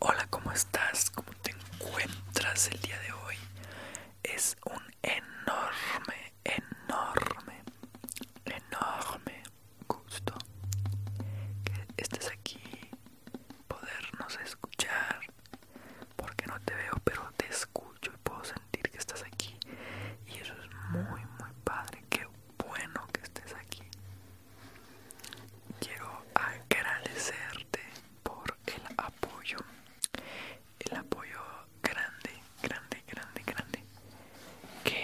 Hola, ¿cómo estás? ¿Cómo te encuentras el día de hoy? Es un enorme, enorme, enorme gusto que estés aquí, podernos escuchar, porque no te veo, pero te escucho y puedo sentir que estás aquí. Y eso es muy, muy padre. Qué bueno que estés aquí quiero agradecerte por el apoyo el apoyo grande grande grande grande que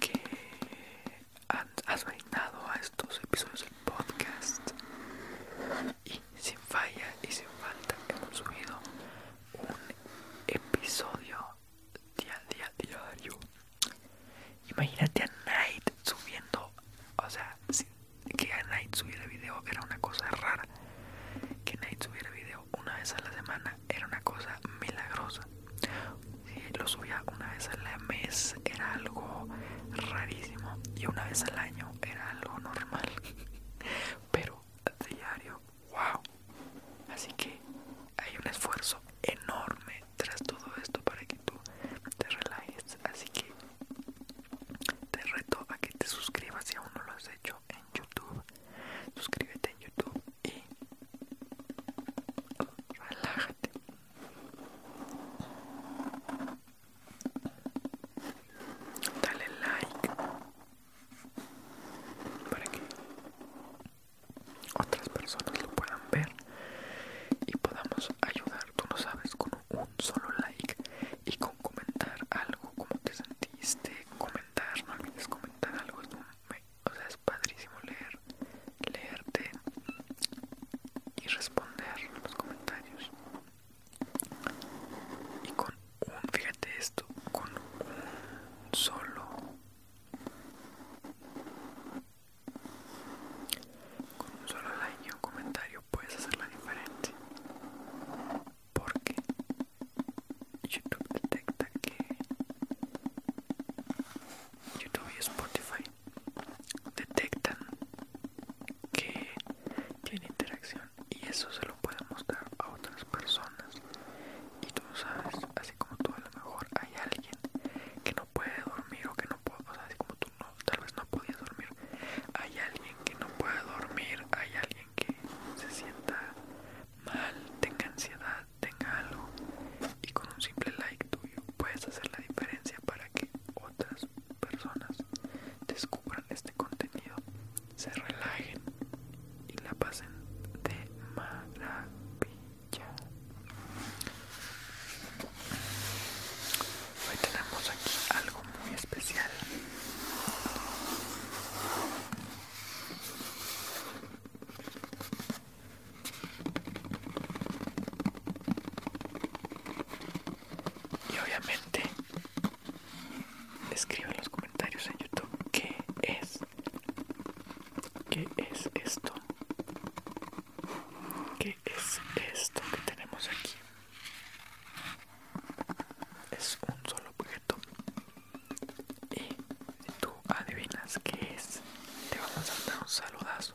que has brindado a estos episodios del podcast y sin falla y sin falta hemos subido un episodio día día diario. Imagínate a Night subiendo, o sea, que a Night subiera video era una cosa rara. Que Night subiera video una vez a la semana era una cosa milagrosa. Si lo subía una vez al mes era algo rarísimo y una vez al año era algo normal. Pero diario, wow. Así que hay un esfuerzo enorme tras todo esto para que tú te relajes. Así que te reto a que te suscribas si aún no lo has hecho en YouTube. Suscríbete en YouTube y relájate. Dale like para que otras personas lo puedan ver y podamos ayudar, tú no sabes, con un solo like y con comentar algo, Como te sentiste, comentar, no olvides comentar algo, es o sea, es padrísimo leer, leerte y responder los comentarios. Y con un, fíjate esto, con un solo con un solo like y un comentario puedes hacerla diferente. Porque YouTube detecta que YouTube y Spotify detectan que tiene interacción y eso se lo pueden mostrar a otras personas y tú sabes, así como tú a lo mejor hay alguien que no puede dormir o que no puede, así como tú tal vez no podías dormir, hay alguien que no puede dormir, hay alguien que se sienta mal, tenga ansiedad, tenga algo y con un simple like tuyo puedes hacer la diferencia para que otras personas descubran este contenido, se relajen y la pasen de maravilla. Hoy tenemos aquí algo muy especial. Y obviamente escribe en los comentarios en YouTube qué es ¿Qué es esto? ¿Qué es esto que tenemos aquí? Es un solo objeto. Y tú adivinas qué es, te vamos a dar un saludazo.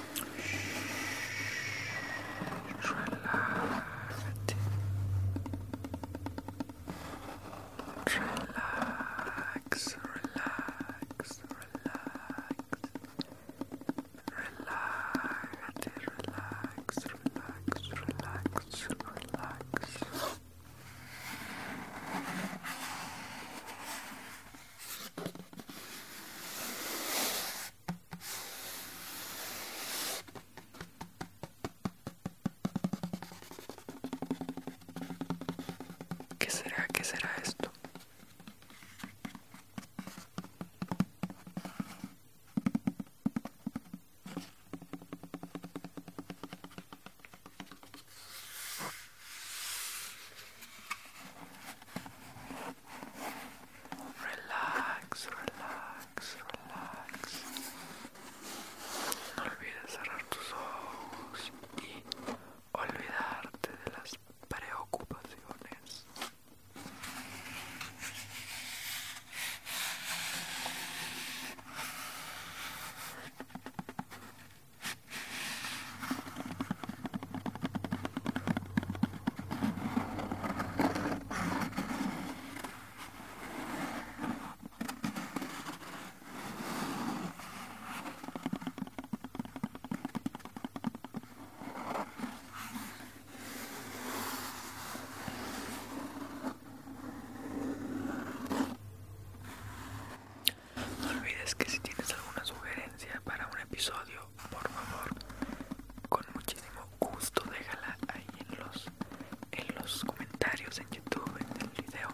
Relate. Relax, relax, relax. Relate, relax, relax, relax, relax. ¿Qué será? ¿Qué será esto? Relax, relax, relax. No olvides cerrar tus ojos y olvidarte de las preocupaciones. No olvides que si tienes alguna sugerencia para un episodio por favor, con muchísimo gusto déjala ahí en los, en los comentarios en YouTube, en el video.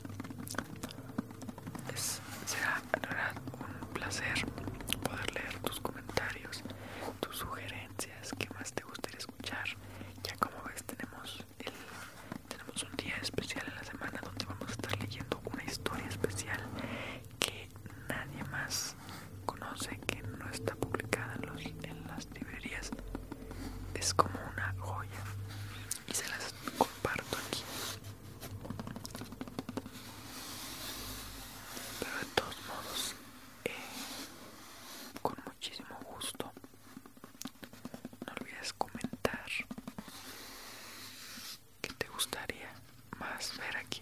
será un placer poder leer tus comentarios, tus sugerencias, qué más te gustaría escuchar. Ya como ves tenemos tenemos un día especial en la semana donde vamos a estar leyendo una historia especial que nadie más conoce, que no está publicada en, las librerías. Es como una joya y se las comparto aquí. Pero de todos modos, eh, con muchísimo gusto, no olvides comentar ¿Qué te gustaría más ver aquí?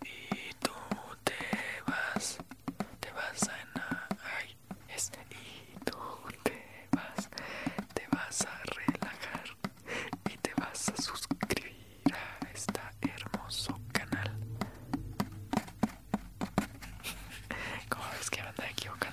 Y tú te vas, te vas a Ay, es, y tú te vas, te vas a relajar y te vas a suscribir a este hermoso canal. ¿Cómo ves que me anda equivocando.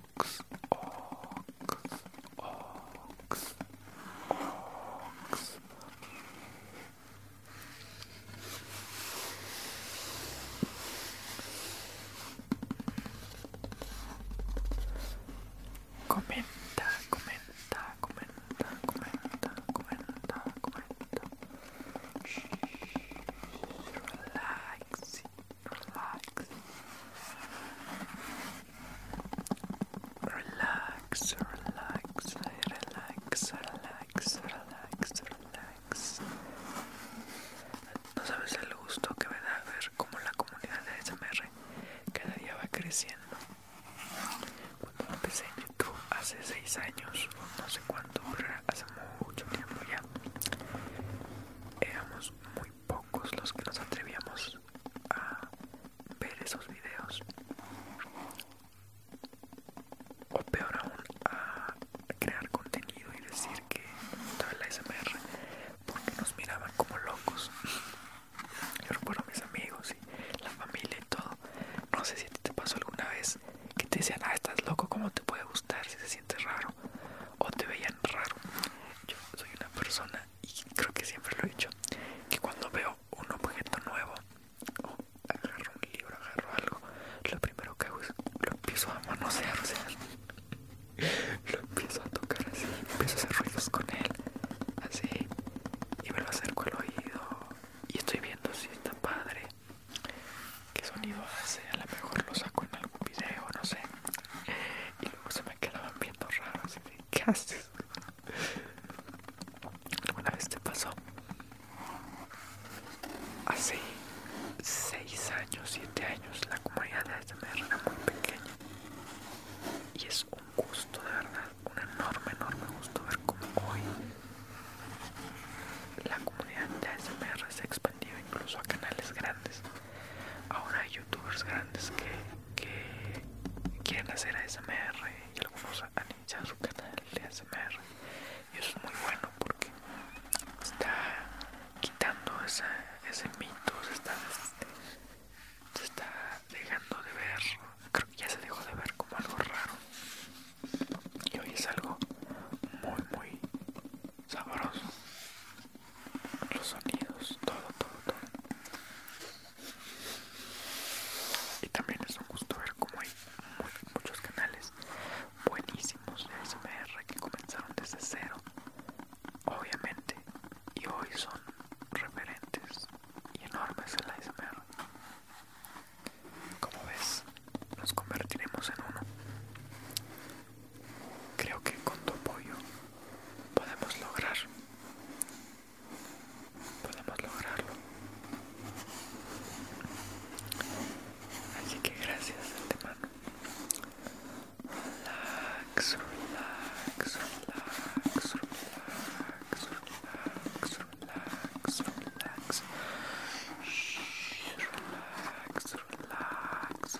ox, ox, ox, ox. Comenta, comenta, comenta, comenta, comenta, comenta. Shh, relax. relax, relax, relax, relax, relax, relax, relax. No sabes el gusto que me da ver cómo la comunidad de SMR cada día va creciendo. Cuando empecé en YouTube hace 6 años, no sé cuánto, pero hace mucho tiempo ya, éramos muy pocos los que nos atrevíamos a ver esos videos o peor aún a crear contenido y decir que estaba la SMR porque nos miraban como locos yo recuerdo a mis amigos y la familia y todo no sé si te pasó alguna vez que te decían ah estás loco cómo te puede gustar si se siente raro o te veían raro. Yo soy una persona, y creo que siempre lo he dicho, que cuando veo un objeto nuevo, o agarro un libro, agarro algo, lo primero que hago es lo empiezo a manosear, lo empiezo a tocar así, empiezo a hacer ruidos con él, así, y me lo acerco al oído, y estoy viendo si está padre, qué sonido hace, a lo mejor lo saco en algún video, no sé y luego se me quedaban viendo raros y de ¿qué haces? Una vez te pasó? Hace 6 años, 7 años la comunidad de ASMR era muy pequeña y es un gusto de verdad, un enorme, enorme gusto ver cómo hoy la comunidad de ASMR se ha expandido incluso a canales grandes Ahora hay youtubers grandes que, quieren hacer ASMR y algunos han iniciado su canal de ASMR. Y eso es muy bueno porque está quitando ese mito, está, se está dejando de ver, creo que ya se dejó de ver como algo raro. Y hoy es algo muy, muy sabroso los sonidos, todo, todo, todo. Y también es un gusto ver como hay muchos canales buenísimos de SMR que comenzaron desde cero, obviamente, y hoy son referentes y enormes en la SMR. Como ves, nos convertiremos en uno. Creo que con tu apoyo podemos lograr. Podemos lograrlo. Así que gracias antemano. Relax, relax, relax, relax, relax, relax, relax. relax, relax,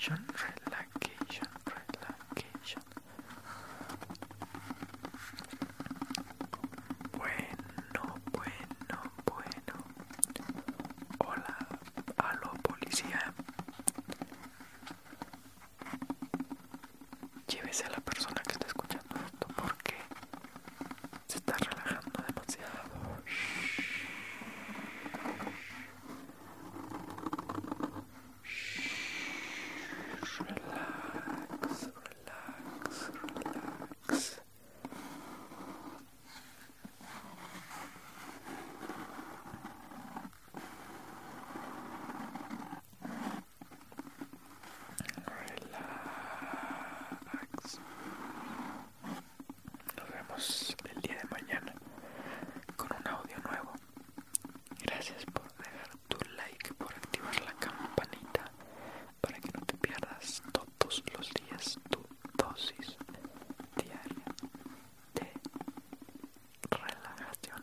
Relacation, relaxation, relaxation. Bueno, bueno, bueno. Hola, aló policía. Llévese a la persona que está escuchando esto porque se está relajando demasiado. Relax, relax, relax. Relax. Relax. Nos vemos el día de mañana con un audio nuevo. Gracias por dejar tu like, por activar la campanita para que no te pierdas todos los días tu dosis diaria de relajación.